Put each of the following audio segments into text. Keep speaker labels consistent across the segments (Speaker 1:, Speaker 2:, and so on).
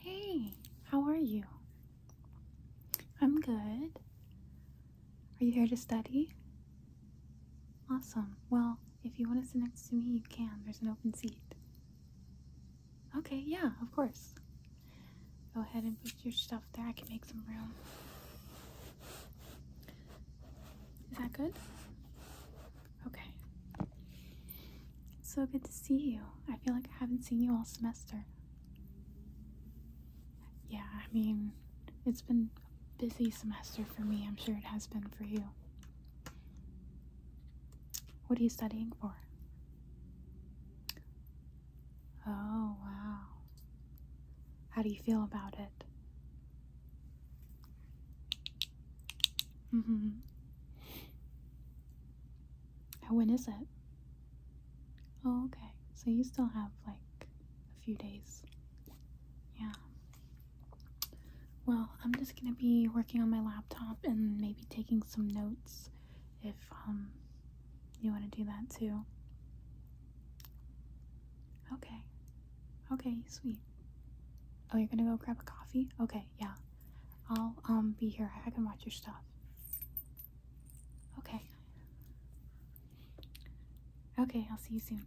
Speaker 1: Hey, how are you? I'm good. Are you here to study? Awesome. Well, if you want to sit next to me, you can. There's an open seat. Okay, yeah, of course. Go ahead and put your stuff there. I can make some room. Is that good? Okay. so good to see you. I feel like I haven't seen you all semester. Yeah, I mean, it's been busy semester for me. I'm sure it has been for you. What are you studying for? Oh, wow. How do you feel about it? Mm-hmm. When is it? Oh, okay. So you still have like a few days. Yeah. Well, I'm just gonna be working on my laptop and maybe taking some notes if um, you want to do that too. Okay. Okay, sweet. Oh, you're gonna go grab a coffee? Okay, yeah. I'll um be here. I can watch your stuff. Okay. Okay, I'll see you soon.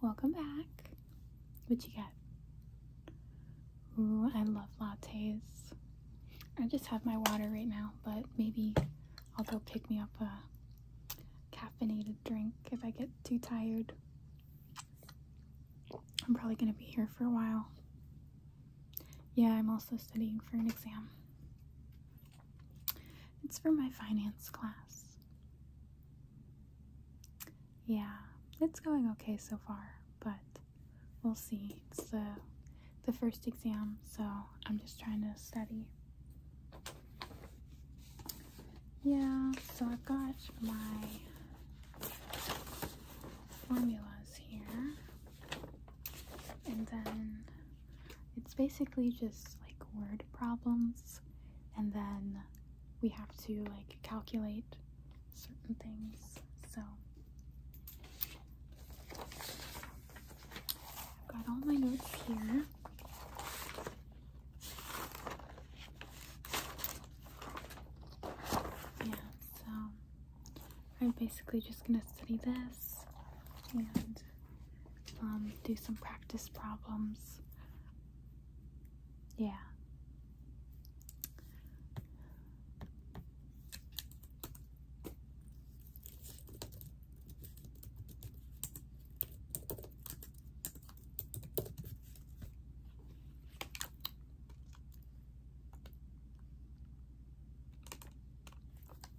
Speaker 1: Welcome back. What you got? I love lattes. I just have my water right now, but maybe I'll go pick me up a caffeinated drink if I get too tired. I'm probably going to be here for a while. Yeah, I'm also studying for an exam. It's for my finance class. Yeah, it's going okay so far, but we'll see. It's the the first exam, so I'm just trying to study. Yeah, so I've got my formulas here. And then it's basically just like word problems, and then we have to like calculate certain things. So I've got all my notes here. Yeah, so I'm basically just gonna study this and um, do some practice problems. Yeah.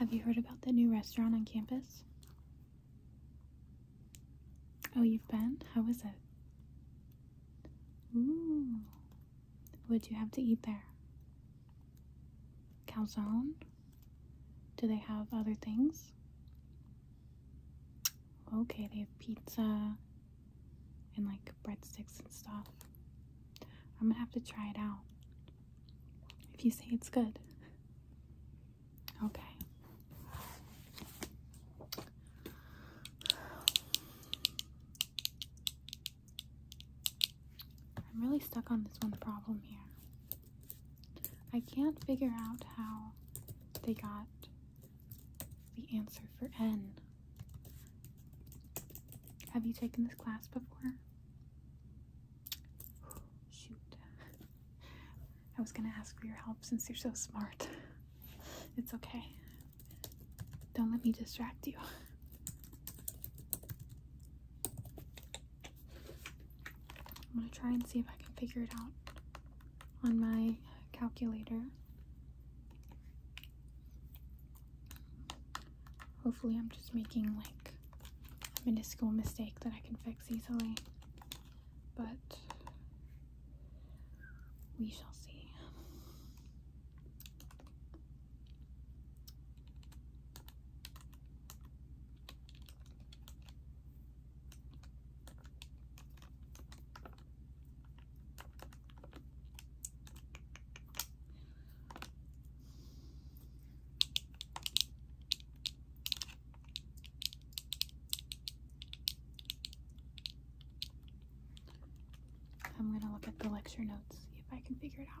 Speaker 1: Have you heard about the new restaurant on campus? Oh, you've been? How was it? Ooh. What'd you have to eat there? Calzone? Do they have other things? Okay, they have pizza and like breadsticks and stuff. I'm gonna have to try it out. If you say it's good. Okay. I'm really stuck on this one problem here. I can't figure out how they got the answer for N. Have you taken this class before? Shoot. I was gonna ask for your help since you're so smart. It's okay. Don't let me distract you. I'm gonna try and see if I can figure it out on my calculator. Hopefully I'm just making like a minuscule mistake that I can fix easily but we shall see. I'm going to look at the lecture notes, see if I can figure it out.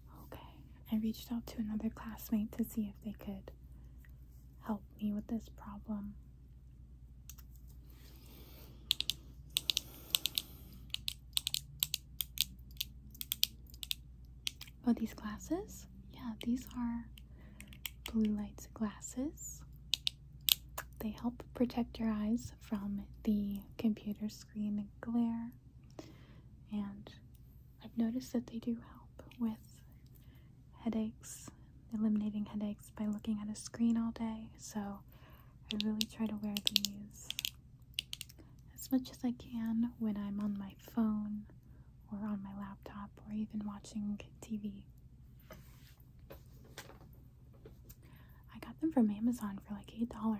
Speaker 1: Okay, I reached out to another classmate to see if they could help me with this problem. Oh, these glasses? Yeah, these are blue lights glasses. They help protect your eyes from the computer screen glare. And I've noticed that they do help with headaches, eliminating headaches by looking at a screen all day. So I really try to wear these as much as I can when I'm on my phone or on my laptop or even watching TV. I got them from Amazon for like $8.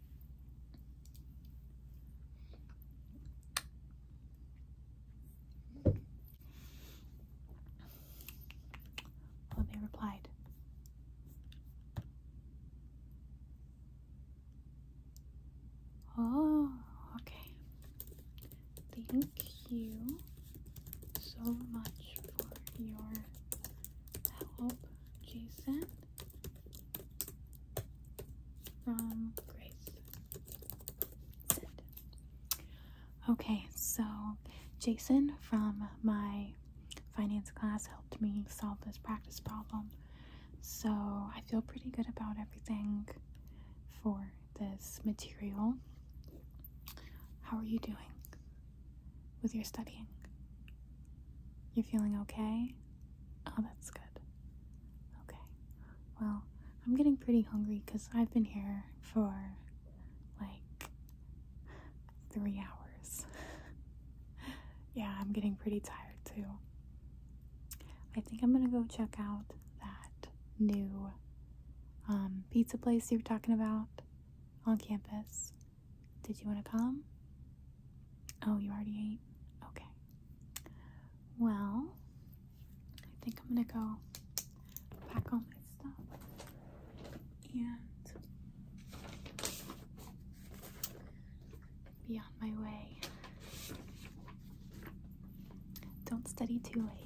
Speaker 1: Well, replied. Oh, okay. Thank you so much for your help, Jason from Grace. Okay, so Jason from my finance class helped me solve this practice problem. So I feel pretty good about everything for this material. How are you doing with your studying? you feeling okay? Oh, that's good. Okay. Well, I'm getting pretty hungry because I've been here for like three hours. yeah, I'm getting pretty tired too. I think I'm gonna go check out that new um, pizza place you were talking about on campus. Did you want to come? Oh, you already ate? Okay. Well, I think I'm gonna go pack all my stuff and be on my way. Don't study too late.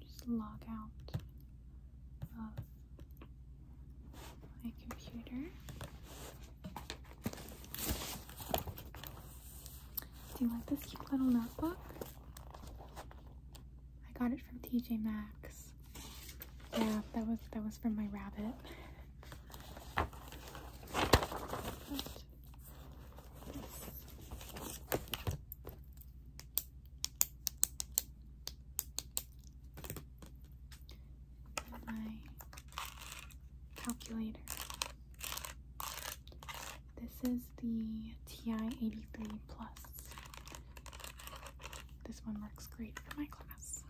Speaker 1: Just log out of my computer. Do you like this cute little notebook? I got it from TJ Maxx. Yeah, that was that was from my rabbit. my calculator. This is the TI-83 Plus. This one works great for my class.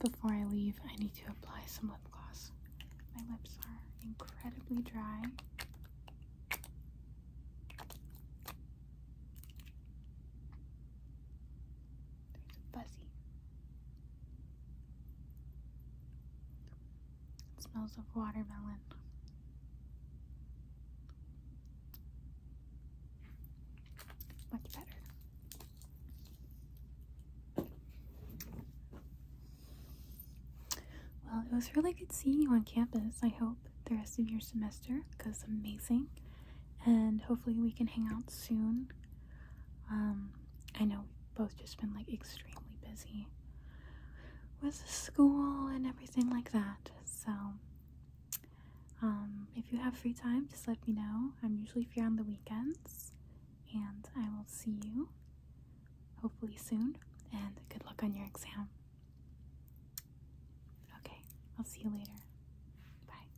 Speaker 1: Before I leave, I need to apply some lip gloss. My lips are incredibly dry. There's fuzzy. It smells of watermelon. Much better. Well, it was really good seeing you on campus. I hope the rest of your semester goes amazing. And hopefully, we can hang out soon um, I know we've both just been like extremely busy with school and everything like that. So, um, if you have free time, just let me know. I'm usually free on the weekends, and I will see you hopefully soon. And good luck on your exam. Okay, I'll see you later. Bye.